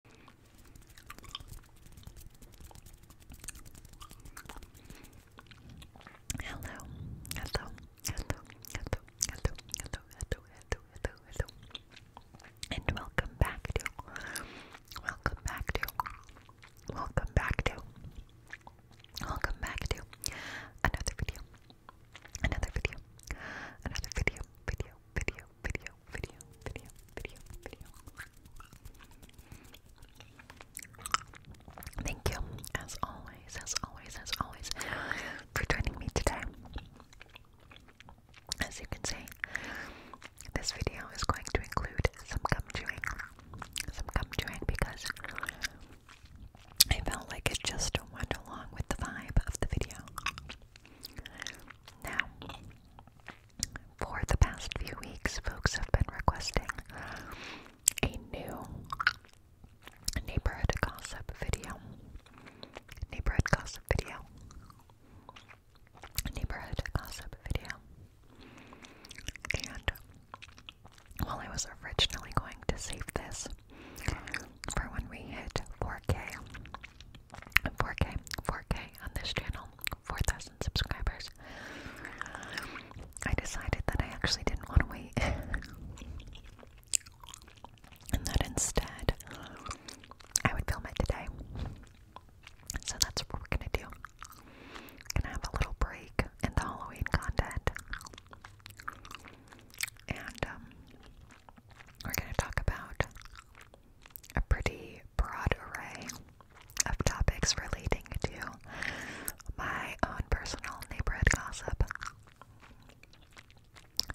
Hello, hello, hello, hello, hello, hello, hello, hello, hello, and welcome back to, welcome back to, welcome back to, welcome back to another video, another video, another video, video, video, video, video, video, video, video. Thank you, as always, as always, as always, for joining me today. As you can see, this video is going to include some gum chewing, some gum chewing because I felt like it just went along with the vibe of the video. Now, for the past few weeks, folks have been requesting a new neighborhood gossip video. Neighborhood gossip video. Neighborhood gossip video. And while I was originally going to save this for when we hit 4K, 4K, 4K on this channel, 4,000 subscribers. I decided that I actually didn't want to wait. and that instead, I would film it today. So that's what we're gonna do. Gonna have a little break in the Halloween content. And, um, we're gonna talk about a pretty broad array of topics relating to my own personal neighborhood gossip.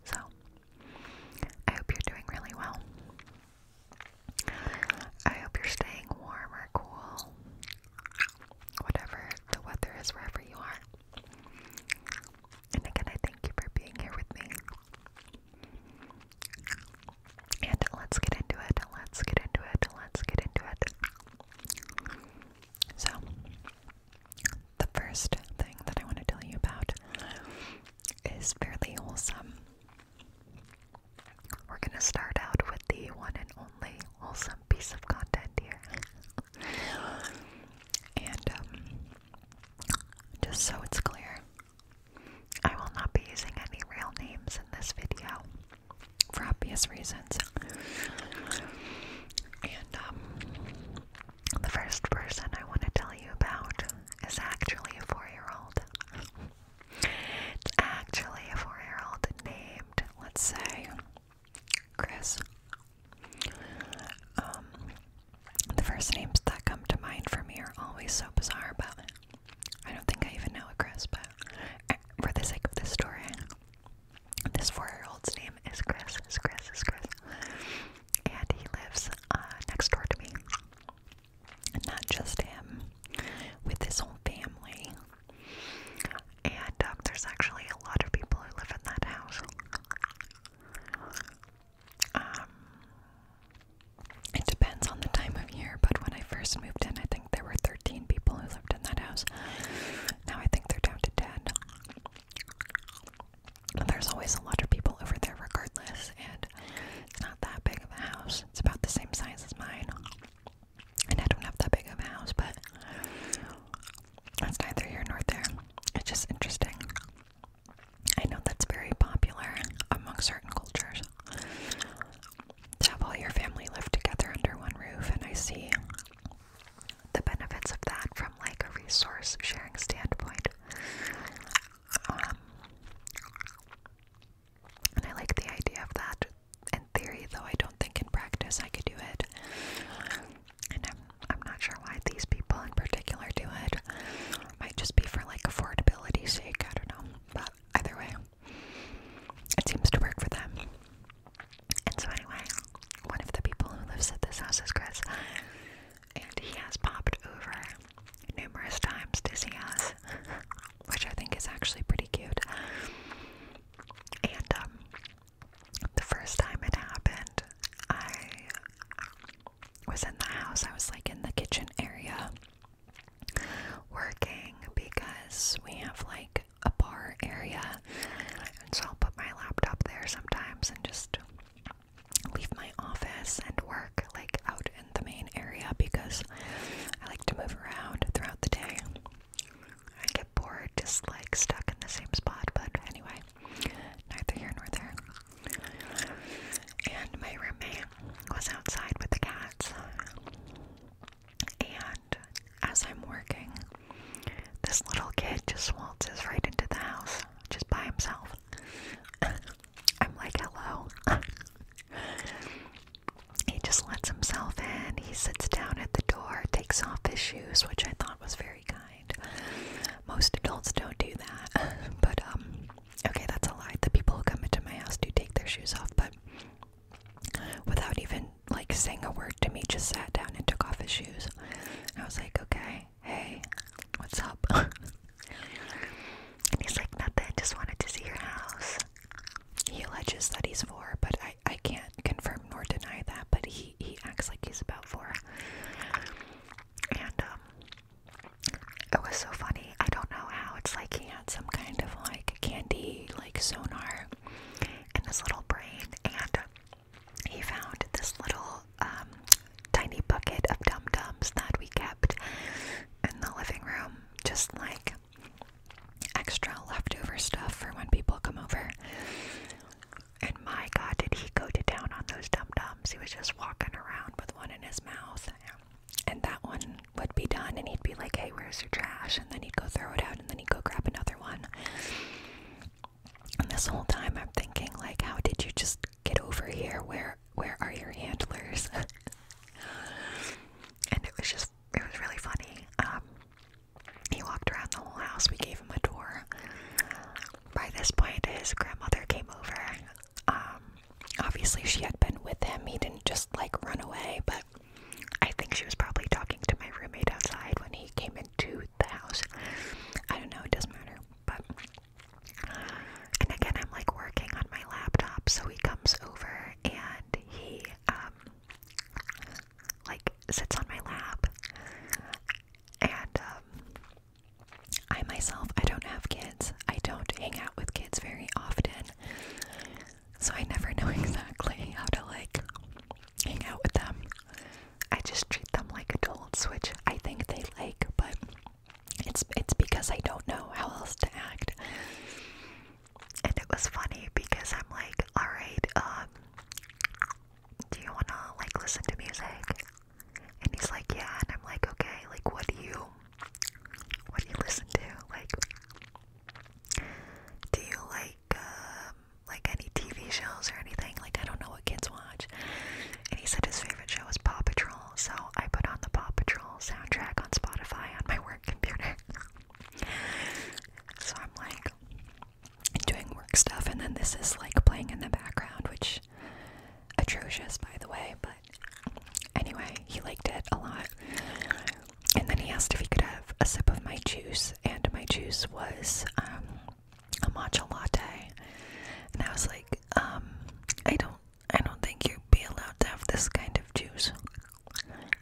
So, I hope you're doing really well. I hope you're staying warm or cool, whatever the weather is, wherever you are. And again, I thank you for being here with me. And let's get into it. Let's get into it. Let's get into it. So, the first thing that I want to tell you about is fairly wholesome. We're going to start out with the one and only wholesome piece of content here. and um, just so it's clear, I will not be using any real names in this video for obvious reasons. And um, the first person I want to tell you about is actually a four-year-old. It's actually a four-year-old named, let's say, Chris. Um, the first names that come to mind for me are always so bizarre, but I don't think I even know it, Chris. But eh, for the sake of this story, this four-year-old's name is Chris. Is Chris? Is Chris? And he lives uh, next door to me, and not just him, with his whole family. And um, there's actually a lot of people who live in that house. Um, it depends on the time of year, but when I first moved in, I think there were 13 people who lived in that house. Now I think they're down to 10. There's always a lot of people over there, regardless, and it's not that big of a house. It's about the same size as mine. And I don't have that big of a house, but that's neither here nor there. It's just interesting. I know that's very popular among certain cultures to have all your family live together under one roof, and I see the benefits of that from like a resource sharing standpoint. Um, and I like the idea of that in theory, though I don't think in practice I could do it. And I'm, I'm not sure why these people in particular do it. Might just be for like affordability sake, I don't know. But either way, it seems to work for them. And so anyway, one of the people who lives at this house is Chris. And he has popped over numerous times to see us, which I think is actually pretty cute. And um, the first time it happened, I was in the house. I was like in the kitchen area working because we have like a bar area. And so I'll put my laptop there sometimes and just leave my office and work like out in the main area because I like to move around throughout the day. I get bored just like stuck in the same spot, but anyway, neither here nor there. And my roommate was outside with the cats. And as I'm working, this little kid just waltzes right into the house just by himself. I'm like, hello. he just lets himself in. He sits down at the door, takes off his shoes, which I thought was very kind. Most adults don't do that. but um Okay, that's a lie. The people who come into my house do take their shoes off, but without even like saying a word to me, just sat down and took off his shoes. I was like, okay, hey, what's up? and he's like, nothing, just wanted to see your house. He alleges that he's four, but I, I can't confirm nor deny that, but he, he acts like he's about four. And um it was so funny. I don't know how. It's like he had some kind of like candy, like sonar in his little brain, and he found this little um, tiny bucket of dum dums that we kept in the living room, just like extra leftover stuff for when people come over. And my god, did he go to town on those dum dums? He was just walking around with one in his mouth and that one would be done and he'd be like hey where's your trash and then he'd go throw it out and then he'd go grab another one and this whole time i'm thinking like how did you just get over here where where are your handlers and it was just it was really funny um, he walked around the whole house we gave him a tour by this point his grandmother came over um, obviously, she had been with him. He didn't just like run away, but I think she was probably talking to my roommate outside when he came into the house. I don't know, it doesn't matter. But, and again, I'm like working on my laptop, so he comes over and he, um, like sits on my lap and, um, I myself, I don't have kids. I don't hang out with kids very often. So I never know exactly how to like hang out with them. I just treat them like adults, which I think they like, but it's it's because I don't know how else to act. And it was funny because I'm like, all right, um, do you wanna like listen to music? And he's like, yeah. And I'm like, okay, like what do you what do you listen to? Like, do you like um, like any TV shows or anything? Like, I don't know what kids watch. And he said his favorite show is Paw Patrol, so I put on the Paw Patrol soundtrack on Spotify on my work computer. so I'm like doing work stuff, and then this is like playing in the background, which atrocious, by the way, but anyway, he liked it a lot. And then he asked if he could have a sip of my juice, and my juice was um, a matcha latte. And I was like, um, I don't, I don't think you'd be allowed to have this kind of juice.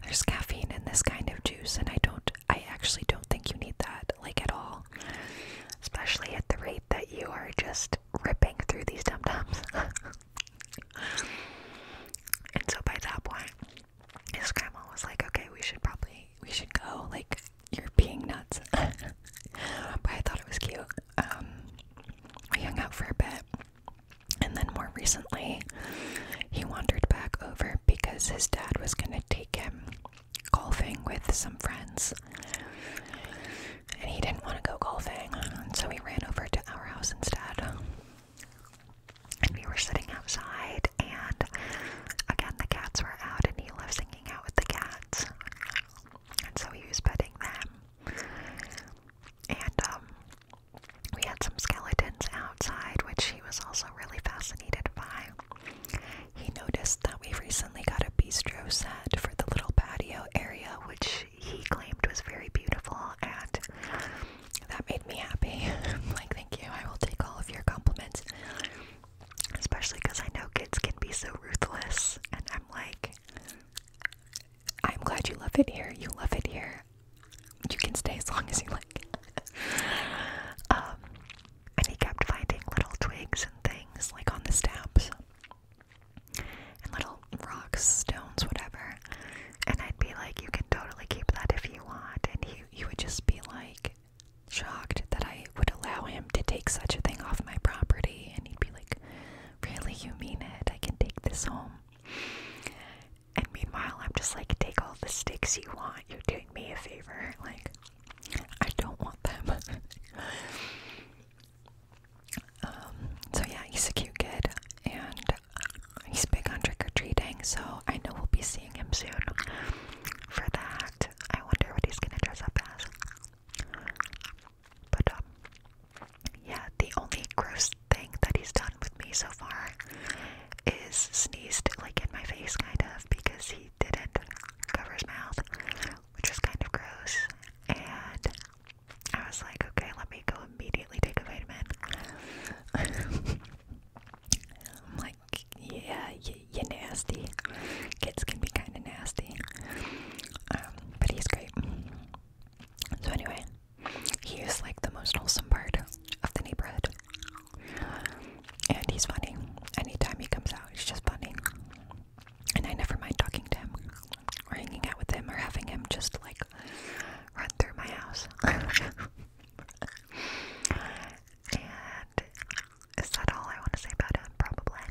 There's caffeine in this kind of juice, and I don't, I actually don't think you need that, like at all. Especially at the rate that you are just ripping through these dum dums. and so by that point, his grandma was like, okay, we should probably, we should go, like, you're being nuts. but I thought it was cute. Um, we hung out for a bit. And then more recently, he wandered back over because his dad was going to take him golfing with some friends and he didn't want to go golfing, so he ran over to our house instead. And we were sitting outside, and again, the cats were out, and he loves hanging out with the cats. And so he was petting them. And um, we had some skeletons outside, which he was also really fascinated by. He noticed that we recently got a bistro set for the little patio area, which he claimed was very beautiful, and that made me happy. like, thank you, I will take all of your compliments, especially because I know kids can be so ruthless, and I'm like, I'm glad you love it here. You love it here. You can stay as long as you like. um, and he kept finding little twigs and things like on the steps and little rocks, stones, whatever. And I'd be like, you can totally keep that if you want. And he, he would just be like shocked that I would allow him to take such a thing off my property. And he'd be like, really? You mean it? I can take this home. And meanwhile, I'm just like, take all the sticks you want. You're doing me a favor. Like, I don't want them. Um, so yeah, he's a cute kid, and he's big on trick or treating. So I know we'll be seeing him soon for that. I wonder what he's gonna dress up as. But um, yeah, the only gross thing that he's done with me so far is sneezed like in my face, kind of, because he didn't cover his mouth, which is kind of gross. And I was like, okay, let me go immediately take a vitamin. I'm like, yeah, you, are nasty. Kids can be kind of nasty. Um, but he's great. So, anyway, he's like the most wholesome part of the neighborhood. And he's funny. Anytime he comes out, he's just funny. And I never mind talking to him or hanging out with him or having him just like run through my house. and is that all I want to say about him? Probably.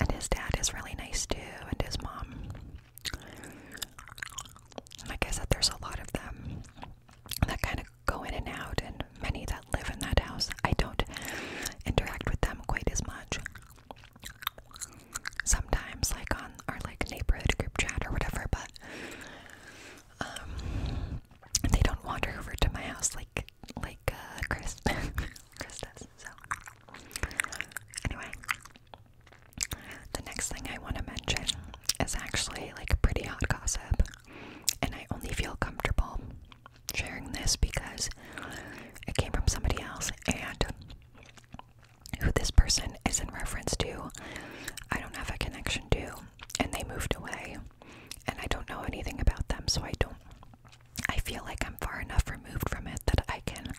And his dad is really nice too, and his mom. Like I said, there's a lot of them that kind of go in and out, and many that live in that house. I don't interact with them quite as much sometimes like on our like neighborhood group chat or whatever but um they don't wander over to my house like like uh Chris Chris does so anyway the next thing I want to mention is actually like pretty hot gossip and I only feel comfortable sharing this because it came from somebody else and who this person is in reference to, I don't have a connection to, and they moved away, and I don't know anything about them, so I don't. I feel like I'm far enough removed from it that I can,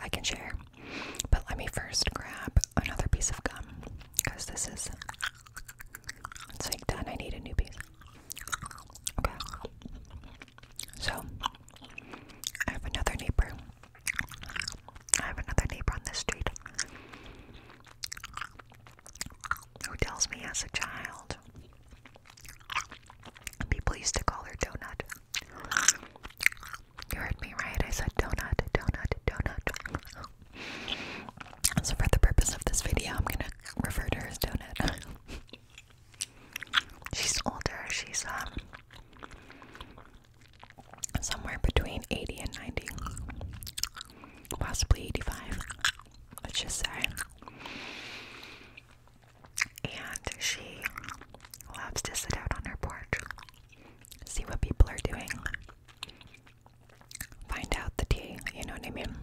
I can share. But let me first grab another piece of gum because this is. It's like done. I need a new piece. Okay. So, I have another neighbor. I have another neighbor on this street who tells me as a child, people used to call her Donut. You heard me right, I said Donut, Donut, Donut. So, for the purpose of this video, I'm gonna refer to her as Donut. She's older. She's um somewhere between 80 and 90. Possibly 85. Let's just say. And she loves to sit out on her porch, see what people are doing, find out the tea, you know what I mean?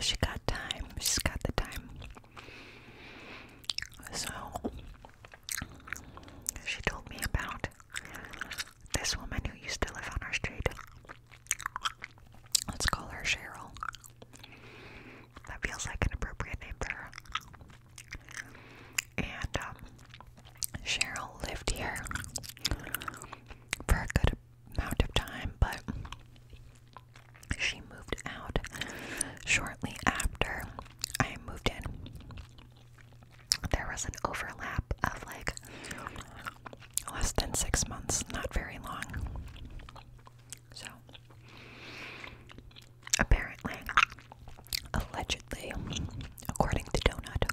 She got time. She's got the time. So she told me about this woman who used to live on our street. Let's call her Cheryl. That feels like an appropriate name for her. And um, Cheryl lived here for a good amount of time, but she moved out shortly after I moved in. There was an overlap of like less than six months, not very long. So, apparently, allegedly, according to Donut,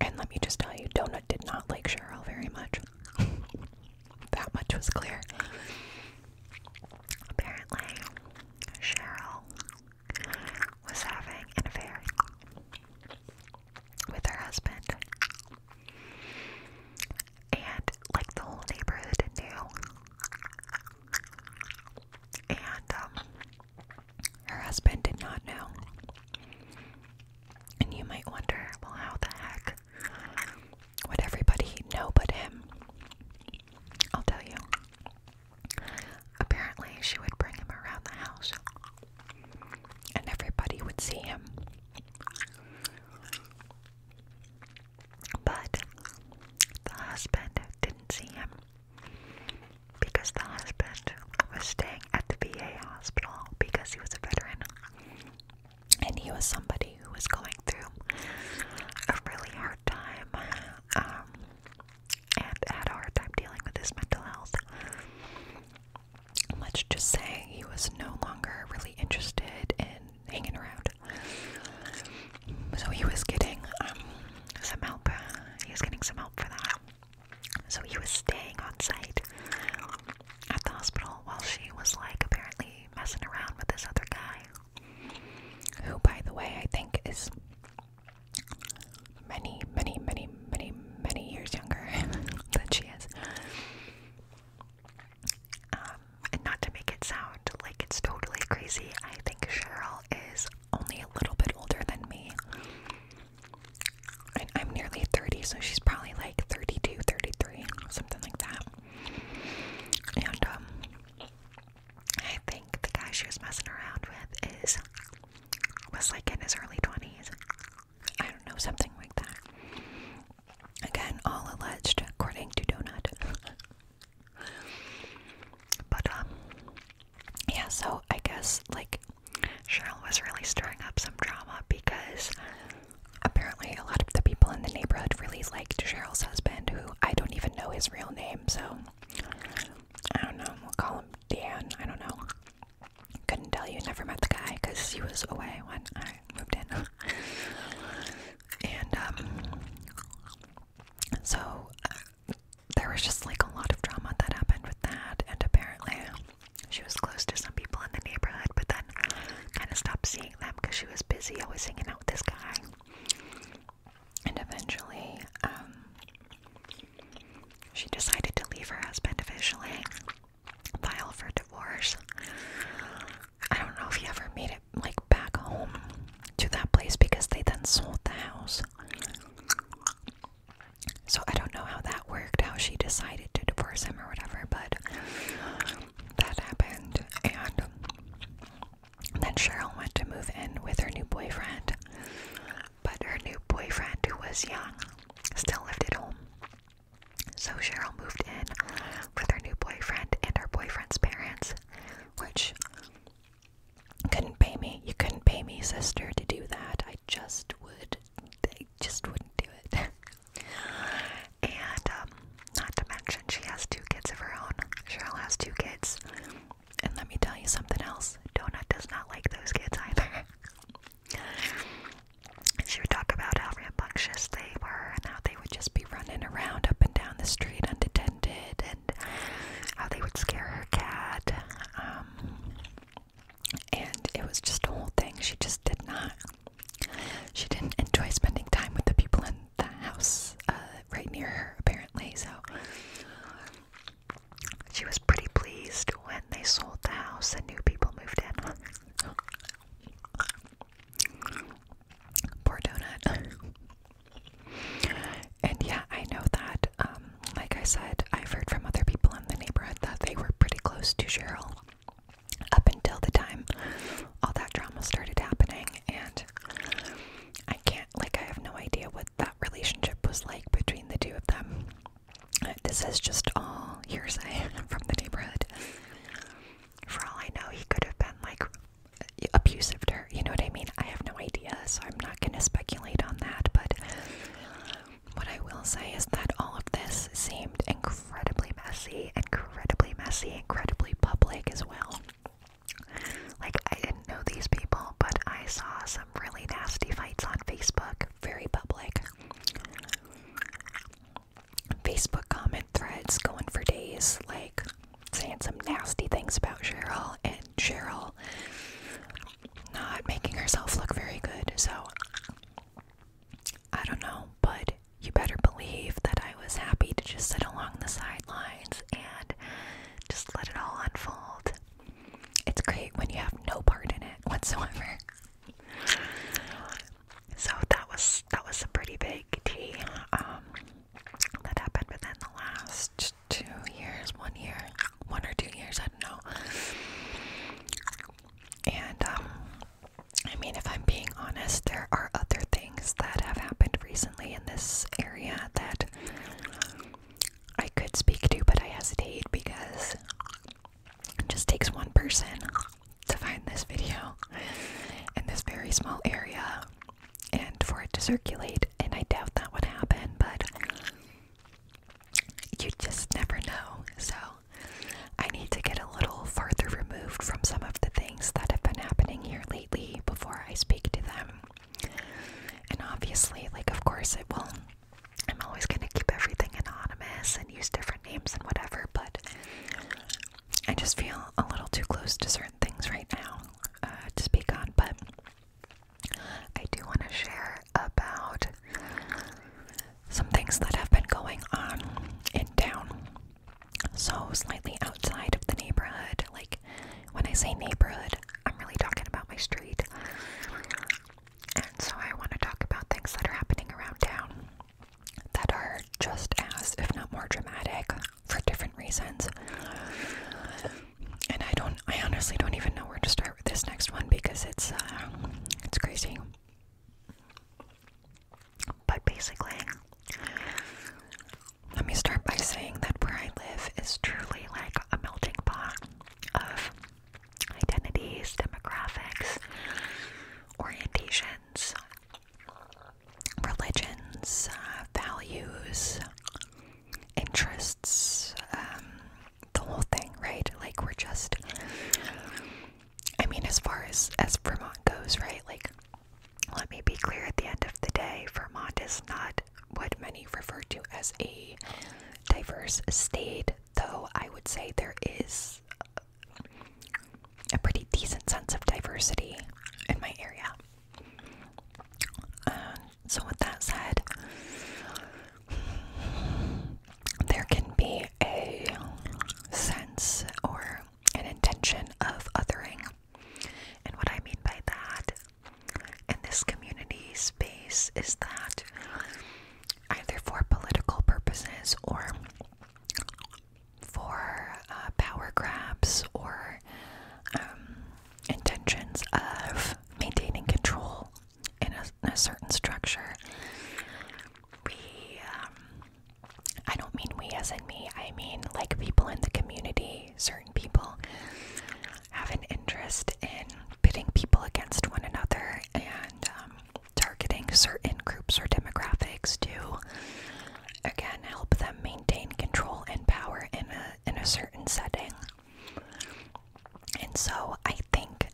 and let me just tell you, Donut did not like Cheryl very much. That much was clear. Apparently, Cheryl was having an affair with her husband. And, like, the whole neighborhood knew. And, um, her husband did not know. And you might wonder, well, how the heck like would everybody know but him? I'll tell you. Apparently, she would bring him around the house, and everybody would see him. But the husband didn't see him because the husband was staying at the VA hospital because he was a veteran and he was somebody who was going through a really hard time um, and had a hard time dealing with his mental health. Let's just say he was no longer really interested in hanging around. So he was getting um, some help. He was getting some help for that. So he was staying on site at the hospital while she was like apparently messing around with this other guy, who, by the way, I think is many, many, many, many, many years younger than she is. Um, and not to make it sound like it's totally crazy, I think Cheryl is only a little bit older than me. I'm nearly 30, so she's probably like 32, 33, something like that. And um, I think the guy she was messing around with is was like in his early 20s. I don't know, something like that. Again, all alleged, according to Donut. but um, yeah. So I guess like Cheryl was really stirring up some drama because Apparently, a lot of the people in the neighborhood really liked Cheryl's husband, who I don't even know his real name, so I don't know. We'll call him Dan. I don't know. Couldn't tell you. Never met the guy because he was away when I moved in. and, um, so there was just like a lot of drama that happened with that, and apparently she was close to some people in the neighborhood, but then kind of stopped seeing them because she was busy always hanging out with this guy. And eventually, um, she decided to leave her husband officially, file for divorce. I don't know if he ever made it like back home to that place because they then sold the house. So I don't know how that worked, how she decided to divorce him or whatever, but that happened. And then Cheryl went to move in with her new boyfriend, but her new boyfriend, who was young, still lived at home. So Cheryl moved in with her new boyfriend and her boyfriend's parents, which couldn't pay me. You couldn't pay me, sister, to do that. I just would. They just wouldn't do it. And um, not to mention, she has two kids of her own. Cheryl has two kids. And let me tell you something else Donut does not like those kids either. And she would talk about how rambunctious they were and how they would just be running around up and down the street unattended and how they would scare her cat. Um, and it was just a whole thing. She just did not she didn't enjoy spending time with the people in the house uh, right near her, apparently, so she was pretty pleased when they sold the house and new people moved in. Poor Donut. and yeah, I know that, um, like I said, I've heard from other people in the neighborhood that they were pretty close to Cheryl up until the time all that drama started happening and I can't like I have no idea what that relationship was like between the two of them. Uh, this is just all hearsay from the neighborhood. For all I know, he could have been like abusive to her. You know what I mean? I have no idea, so I'm not going to speculate on that. But what I will say is that all of this seemed incredibly messy incredibly messy, incredibly public as well. Like, I didn't know these people, but I saw some really nasty fights on Facebook, very public. Facebook comment threads going for days, like saying some nasty things about Cheryl, and Cheryl not making herself look very good. So, I don't know, but you better believe that I was happy to just sit along the sidelines and just let it all unfold. It's great when you have no part in it whatsoever. So that was that was a pretty big tea um, that happened within the last two years, one year, one or two years, I don't know. And um, I mean, if I'm being honest, there are other things that have happened recently in this area that I could speak to, but I hesitate because it just takes one person to find this video in this very small area and for it to circulate, and I doubt that would happen, but you just never know. So I need to get a little farther removed from some of the things that have been happening here lately before I speak to them. And obviously, like, of course, it will. I'm always going to keep everything anonymous and use different names and whatever, but I just feel a little too close to certain things right now uh, to speak on. But I do want to share about some things that have been going on in town. So, slightly outside of the neighborhood. Like, when I say neighborhood, I'm really talking about my street. And so, I want to talk about things that are happening around town that are just as, if not more dramatic, for different reasons. And I don't, I honestly don't even know where to start with this next one because it's, uh, it's crazy. But basically, let me start by saying that where I live is truly like a melting pot of identities, demographics, orientations, religions, uh, values, interests, um, the whole thing, right? Like, we're just I mean, as far as as Vermont goes, right? Like, let me be clear. At the end of the day, Vermont is not what many refer to as a diverse state. Though I would say there is a pretty decent sense of diversity in my area. Um, so with that said, there can be a sense or an intention of othering. And what I mean by that in this community space is that either for political purposes or for uh, power grabs or um, intentions of maintaining control in a certain structure, we um, I don't mean we as in me, I mean like people in the community, certain people have an interest in pitting people against one another and um, targeting certain groups or demographics to again help them maintain control and power in a in a certain setting. And so I think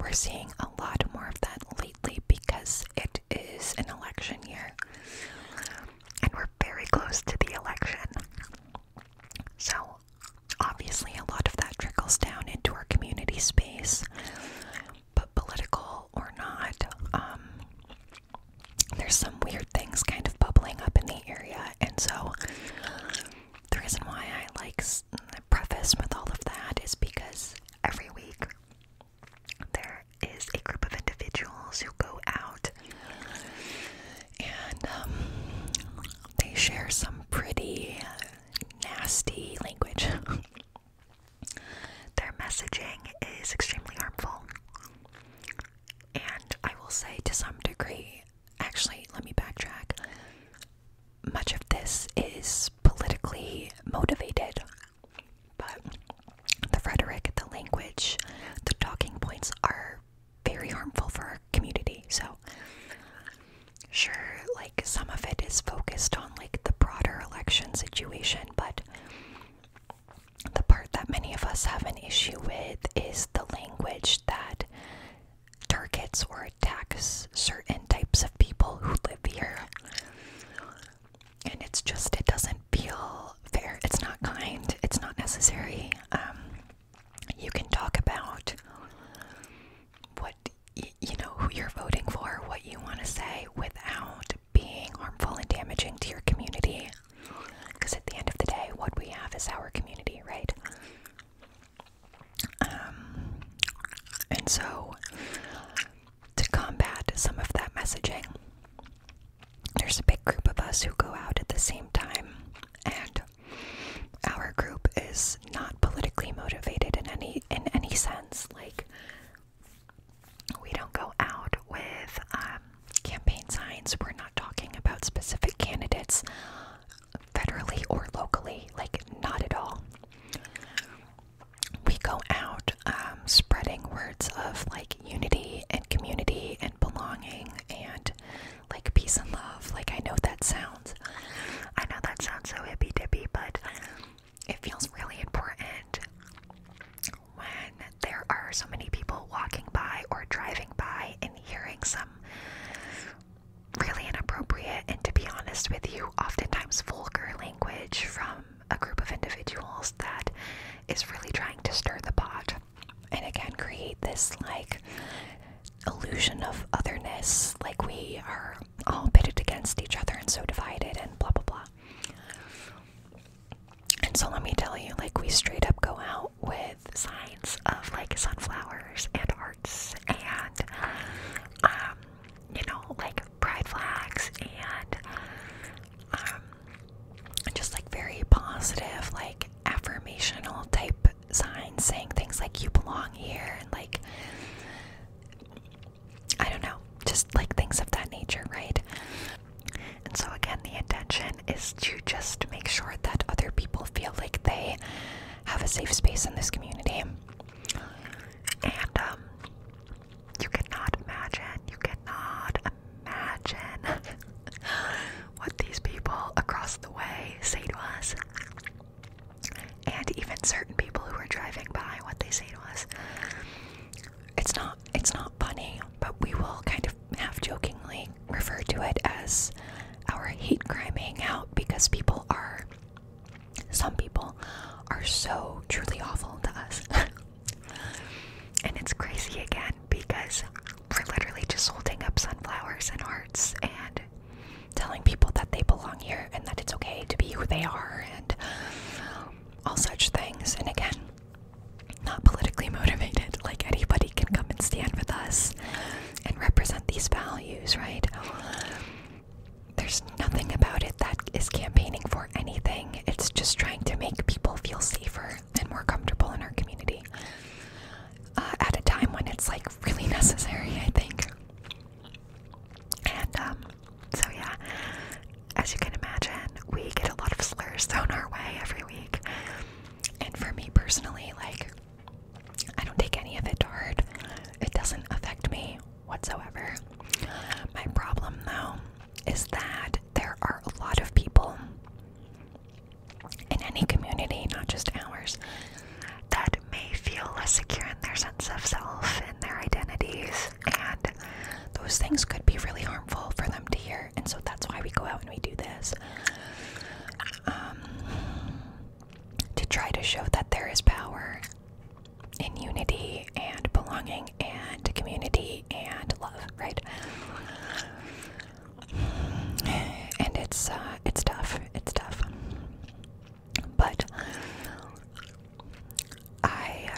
we're seeing a lot more of that lately because it is an election year and we're very close to the election. So, obviously, a lot of that trickles down into our community space, but political or not, um, there's some weird things kind of bubbling up in the area, and so the reason why I like preface with all of that is because every week there is a group of individuals who go out and um, they share some pretty nasty language. Their messaging is extremely harmful. And I will say, to some degree, actually, let me backtrack. Much of this is politically motivated. But the rhetoric, the language, the talking points are very harmful for our community. So, sure, like some of it is focused on like the broader election situation, but the part that many of us have an issue with is the language that targets or attacks certain types of people who live here and it's just it doesn't feel fair it's not kind it's not necessary um, you can talk about what you know who you're voting for what you want to say without being harmful and damaging to your community because at the end of the day what we have is our community right um, and so to combat some of that messaging, there's a big group of us who go out at the same time, and our group is not politically motivated in any in any sense. Like we don't go out with um, campaign signs. We're not talking about specific candidates, federally or locally. Like not at all we go out um, spreading words of like unity and community and belonging and like peace and love. Like, I know that sounds, I know that sounds so hippy dippy, but it feels really important when there are so many people walking by or driving by and hearing some really inappropriate and, to be honest with you, oftentimes vulgar language from a group of individuals that is really trying to stir the pot and again create this like illusion of otherness, like we are all pitted against each other and so divided and blah blah blah. And so let me tell you, like we straight up go out with signs of like sunflowers and hearts and um you know like pride flags and um, just like very positive, like affirmational type signs saying things like you belong here and like I don't know, just like things of that nature, right? And so, again, the intention is to just make sure that other people feel like they have a safe space in this community. And um, you cannot imagine, you cannot imagine what these people across the way say to us. And even certain people who are driving by, what they say to us. It's not it's not funny, but we will kind of half jokingly refer to it as our hate crime hangout because people are some people are so truly awful to us. and it's crazy again because we're literally just holding up sunflowers and hearts and telling people that they belong here and that it's okay to be who they are and all such things. And again, not politically motivated, like anybody can come and stand with us and represent these values, right? there's nothing about it that is campaigning for anything. It's just trying to make people feel safer and more comfortable in our community uh, at a time when it's like really necessary, I think. And um, so, yeah, as you can imagine, we get a lot of slurs thrown our way every week. And for me personally, like, I don't take any of it to heart. It doesn't affect me whatsoever. My problem though is that there are a lot of people in any community, not just ours, that may feel less secure in their sense of self and their identities, and those things could be really harmful for them to hear. And so that's why we go out and we do this um, to try to show that there is power in unity and belonging and community and love, right? And it's uh, it's tough. It's tough. But I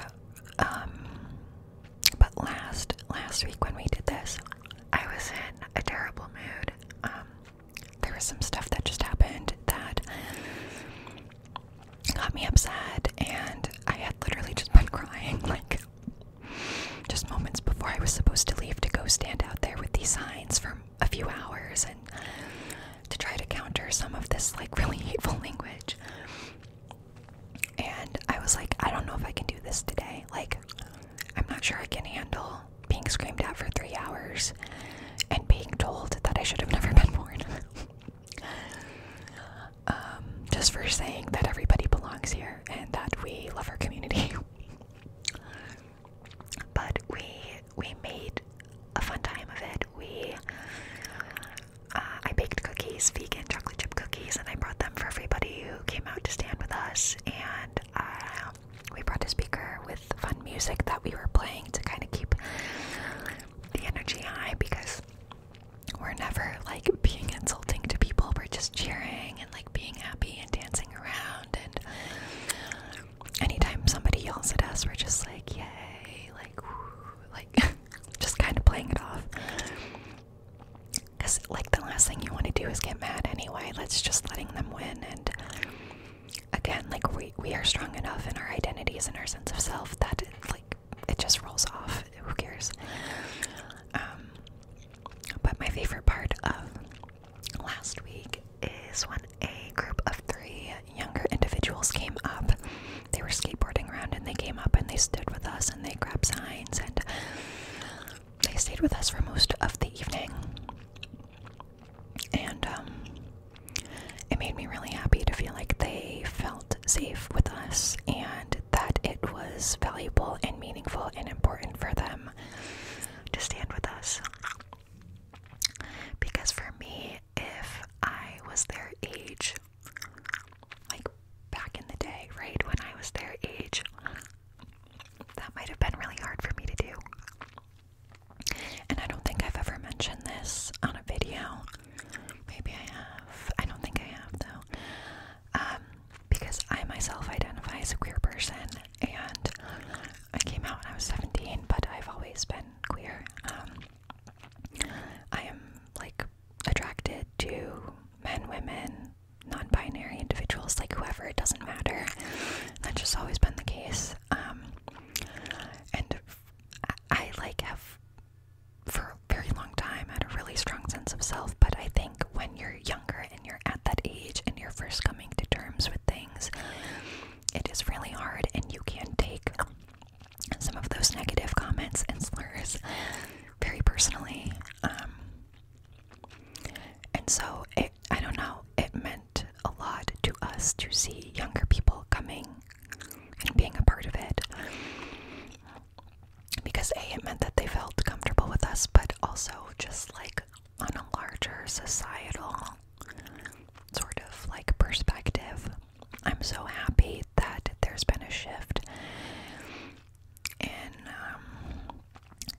um, but last last week when we did this, I was in a terrible mood. Um, there was some stuff that just happened that got me upset, and I had literally just been crying like just moments before I was supposed to leave to go stand out there with these signs for a few hours and to try to counter some of this like really hateful language. And I was like, I don't know if I can do this today. Like, I'm not sure I can handle being screamed at for three hours and being told that I should have never been born. Um, just for saying that everybody belongs here and that we love our community. but we we made a fun time of it. We uh, I baked cookies, vegan chocolate chip cookies, and I brought them for everybody who came out to stand with us. And uh, we brought a speaker with fun music that we were playing to kind of keep the energy high because we're never like being insulting to people. We're just cheering and like being happy and dancing around. And anytime somebody yells at us, we're just like, yay, like, like, just kind of playing it off. Because, like, the last thing you want to do is get mad anyway. Let's just letting them win. And again, like, we, we are strong enough in our identities and our sense of self that, like, it just rolls off. Who cares? Um, but my favorite part of last week is when a group of three younger individuals came up. They were skateboarding around and they came up and they stood with us and they grabbed signs and they stayed with us for most of the evening. And um, it made me really happy to feel like they felt safe with us and that it was valuable and meaningful and important for them to stand with us. Because for me, if I was their age, like back in the day, right, when I was their age, that might have been really hard for me to do. And I don't think I've ever mentioned this on a video, Maybe I have. I don't think I have though. Um, because I myself identify as a queer person and I came out when I was 17, but I've always been queer. Um, I am like attracted to men, women, non binary individuals, like whoever, it doesn't matter. That's just always been the case. Um, and I like have for a very long time had a really strong sense of self but i think when you're younger and you're at that age and you're first coming to terms with things it is really hard and you can take some of those negative comments and slurs very personally um, and so it i don't know it meant a lot to us to see younger people coming and being a part of it. Because A, it meant that they felt comfortable with us, but also just like on a larger societal sort of like perspective. I'm so happy that there's been a shift in um,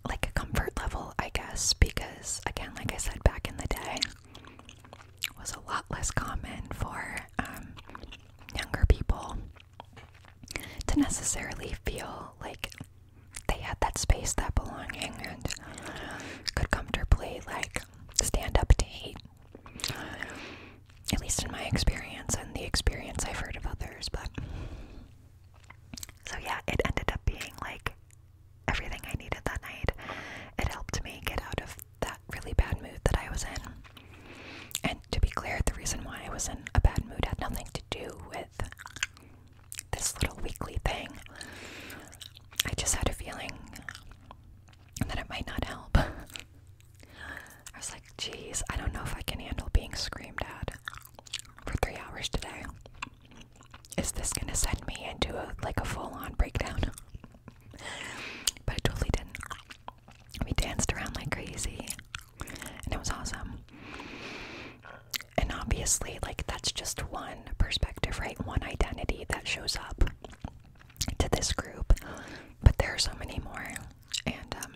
like a comfort level, I guess, because again, like I said back in the day, was a lot less common for um, younger people to necessarily feel like they had that space, that belonging, and could comfortably like stand up to hate. At least in my experience and the experience I've heard of others, but so yeah, it ended up being like everything I needed that night. It helped me get out of that really bad mood that I was in. And to be clear, the reason why I was in a bad mood had nothing to do with this little weekly thing. I just had a feeling that it might not help. I was like, geez, I don't know if I can handle being screamed at for three hours today. Is this gonna send me into like a full-on breakdown? but it totally didn't we danced around like crazy and it was awesome and obviously like that's just one perspective right one identity that shows up to this group but there are so many more and um,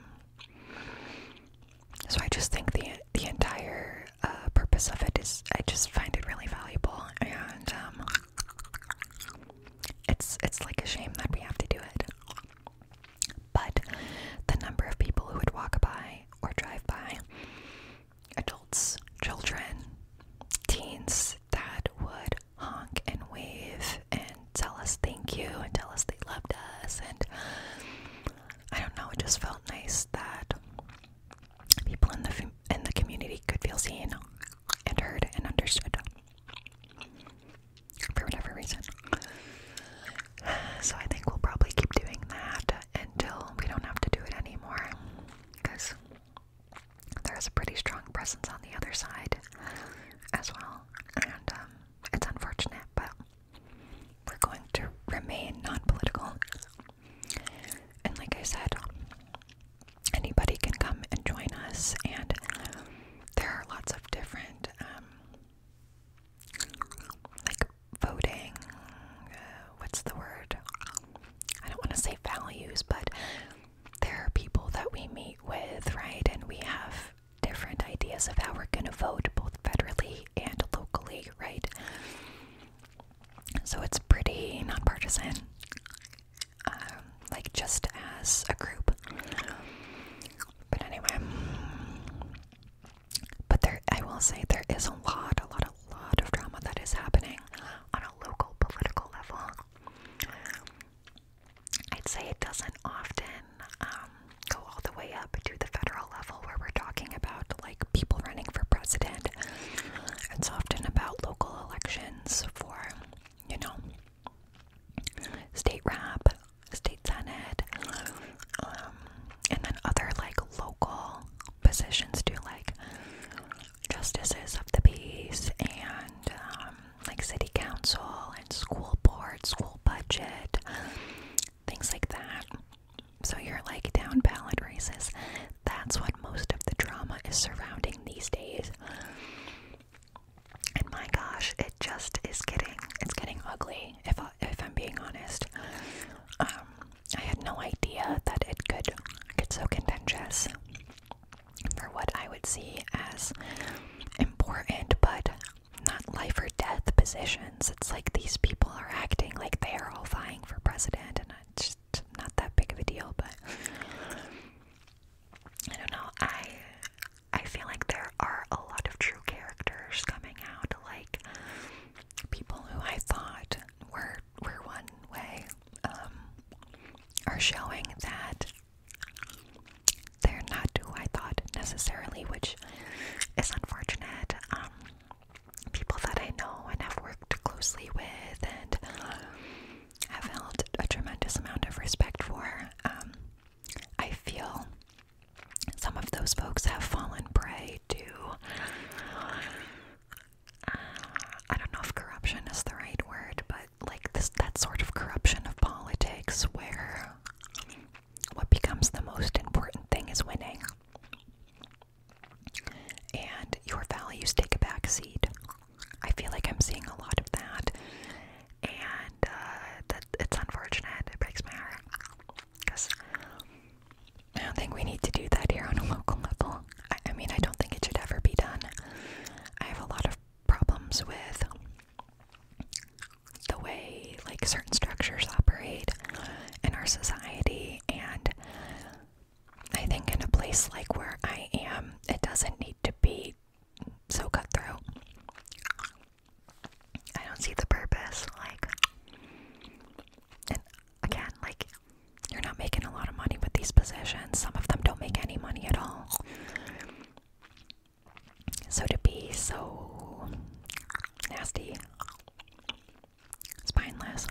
so i just think the the entire uh, purpose of it is i just find it really valuable and um, it's it's like a shame that we have to do it. But the number of people who would walk by or drive by, adults, children, teens that would honk and wave and tell us thank you and tell us they loved us and I don't know, it just felt nice that people in the in the community could feel seen and heard and understood for whatever reason. So I think we'll probably keep doing that until we don't have to do it anymore because there is a pretty strong presence on the other side as well. And um, it's unfortunate, but we're going to remain non political. And like I said, anybody can come and join us, and there are lots of different um, like voting. Uh, what's the word? I don't want to say values, but there are people that we meet with, right? And we have different ideas of how we're going to vote, both federally and locally, right? So it's pretty nonpartisan um, like just as a group. But anyway, but there, I will say there is a lot, a lot, a lot of drama that is happening on a local political level. I'd say it doesn't often um, go all the way up to the federal level where we're talking about like people running for president. It's often about local elections for, you know, state rep, state senate, um, and then other like local positions too, like justices of the peace and um, like city council and school board, school budget, things like that. So you're like down ballot races. That's what most of the drama is surrounding these days. And my gosh, it just is getting it's getting ugly if I, if I'm being honest. Um I had no idea that it could get so contentious for what I would see as important but not life or death positions. It's like these people are acting like they are all vying for president and it's just not that big of a deal, but I don't know. I I feel like there are a lot of true characters coming out, like people who I thought were were one way, um, are showing that they're not who I thought necessarily, which is unfortunate. Um, people that I know and have worked closely with, and I felt a tremendous amount of respect for. Um, I feel some of those folks have fallen prey to. Uh, I don't know if corruption is the right word, but like this, that sort of corruption of politics where what becomes the most important thing is winning. And your values take a back seat. I feel like I'm seeing a lot of that, and uh, that it's unfortunate. It breaks my heart because I don't think we need to do that here on a local level. I mean, I don't think it should ever be done. I have a lot of problems with the way like certain structures operate in our society, and I think in a place like where I am, it doesn't need to be so cutthroat. I don't see the purpose. Like, and again, like, you're not making a lot of money with these positions. Some of them don't make any money at all. So to be so nasty, spineless,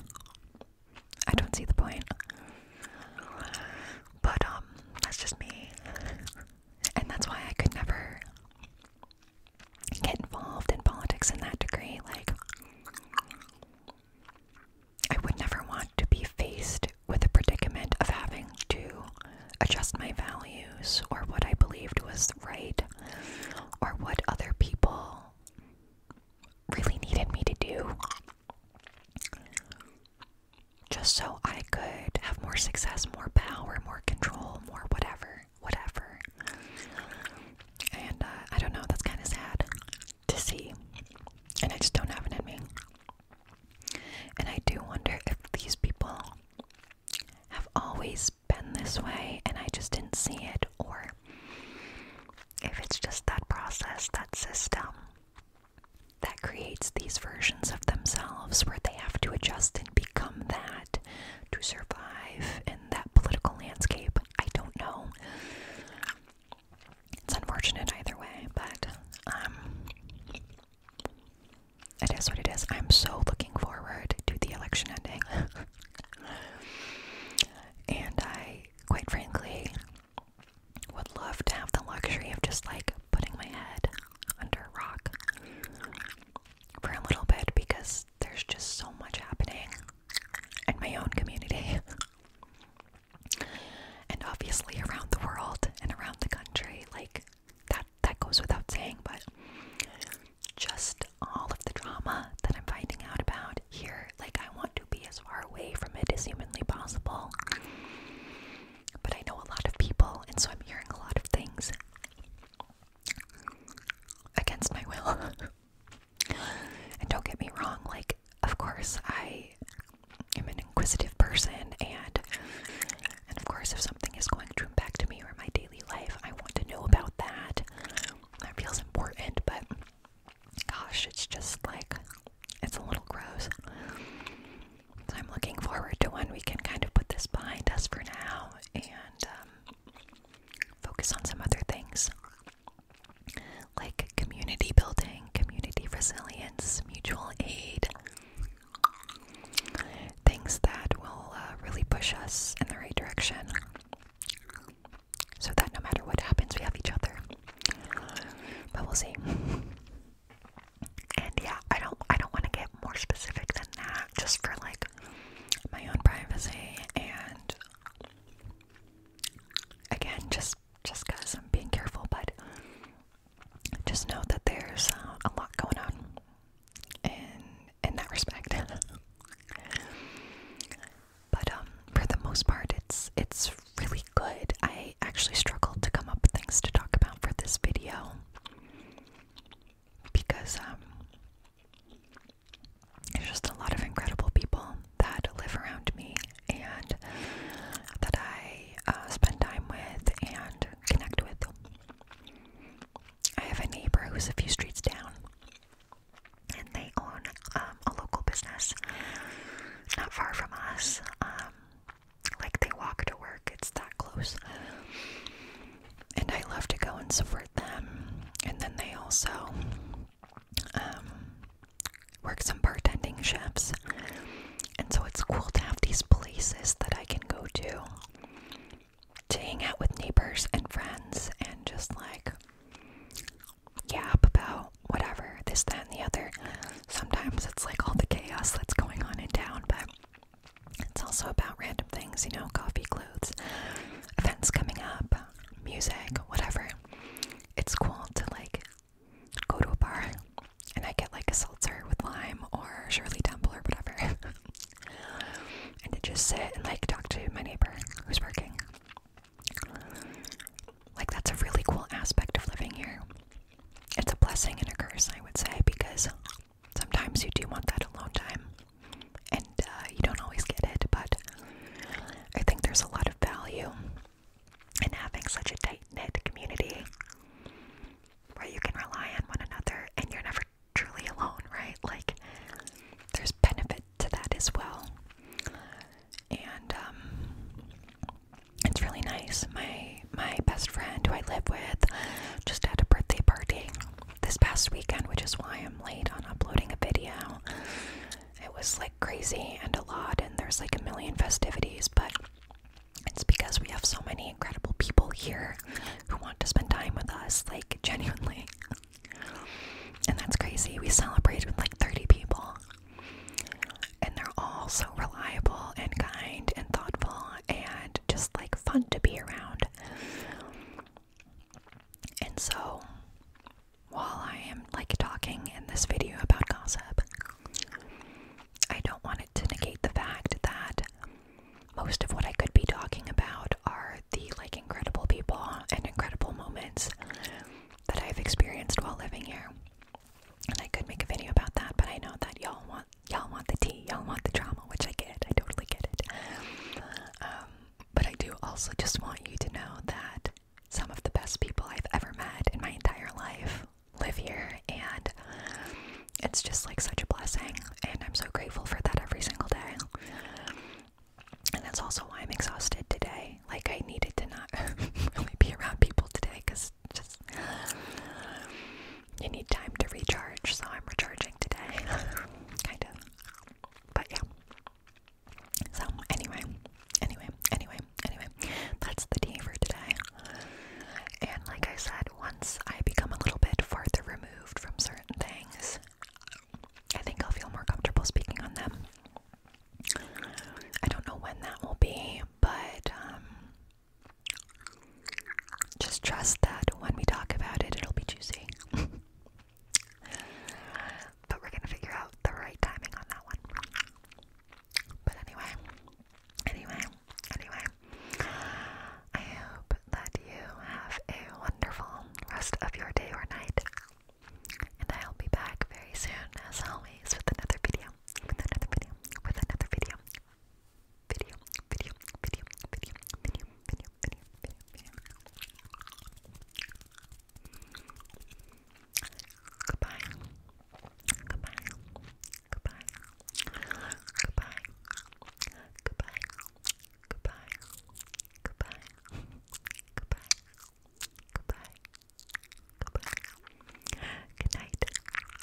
I don't see the point. But um, that's just me, and that's why I could never get involved in politics in that degree. Like, I would never want to be faced with the predicament of having to adjust my values or what I believed was right or what other people really needed me to do just so I could have more success, more power, more control, more whatever, whatever. And uh, I don't know, that's kind of sad to see. And I just don't have it in me. And I do wonder if these people have always been this way and I just didn't see it, or if it's just that process, that system that creates these versions of themselves where they have to adjust and become that to survive in that political landscape. I don't know. It's unfortunate either way, but um it is what it is. I'm so looking forward to the election ending. and I quite frankly would love to have the luxury of just like putting my head under a rock for a little bit because there's just so much happening in my own community and obviously around the world and around the country like that that goes without saying but just all of the drama that I'm finding out about here like I want to be as far away from it as humanly possible but I know a lot of people, and so I'm hearing a lot of things against my will. and don't get me wrong, like, of course, I am an inquisitive person, and and of course, if something is going to impact me or my daily life, I want to know about that. That feels important, but gosh, it's just like it's a little gross. I'm looking forward to when we can kind of put this behind us for now and um, focus on some other things like community building, community resilience, mutual aid, things that will uh, really push us in the right direction so that no matter what happens, we have each other. But we'll see. And yeah, I don't I don't want to get more specific than that just for like my own privacy and again just just cuz I'm being careful but just know that there's uh, a lot going on and in that respect. but um for the most part it's it's really good. I actually struggled to come up with things to talk about for this video because um, there's just a lot of incredible people that live around me and that I uh, spend time with and connect with. I have a neighbor who's a few streets down, and they own um, a local business not far from us. Um, like they walk to work, it's that close. And I love to go and support them. And then they also um, work some bartending shifts. And so it's cool to have these places that I can go to to hang out with neighbors and friends and just like yeah, about whatever, this, that, and the other sometimes it's like all the chaos that's going on in town, but it's also about random things, you know, coffee, clothes, events coming up, music, whatever. It's cool to like go to a bar and I get like a seltzer with lime or Shirley Temple or whatever. and to just sit and like talk to my neighbor who's working. Like that's a really cool aspect of living here it's a blessing and a curse, I would say, because sometimes you do want that alone time and uh, you don't always get it, but I think there's a lot of value in having such a tight knit community where you can rely on one another and you're never truly alone, right? Like, there's benefit to that as well. And, um, it's really nice. My my best friend who I live with just had a birthday party this past weekend, which is why I'm late on uploading a video. It was like crazy and a lot and there's like a million festivities, but it's because we have so many incredible people here who want to spend time with us, like genuinely. And that's crazy. We celebrated with like 30 people. And they're all so reliable and kind and thoughtful and just like fun to be around. And so, while I am like talking in this video about gossip, I don't want it to negate the fact that most of what I could be talking about are the like incredible people and incredible moments that I've experienced while living here. And I could make a video about that, but I know that y'all want y'all want the tea, y'all want the drama, which I get. I totally get it. Um, but I do also just want you to know that some of the best people I've ever met in my entire life live here, and it's just like such a blessing. And I'm so grateful for that every single day. And that's also why I'm exhausted today. Like I needed to not really be around people today because just you need time to recharge, so I'm recharging today. kind of. But yeah. So anyway, anyway, anyway, anyway, that's the tea for today. And like I said, once I become a little bit farther removed from certain things, I think I'll feel more comfortable speaking on them. I don't know when that will be, but um, just trust that when we talk about it, it'll be juicy. but we're gonna figure out the right timing on that one. But anyway, anyway, anyway, I hope that you have a wonderful rest of your day or night. And I'll be back very soon, as always, with another video, with another video, with another video, video, video, video, video, video, video, video, video, video. Goodbye. Goodbye. Goodbye. Goodbye. Goodbye. Goodbye. Goodbye. Goodbye. Goodbye. Goodbye. Good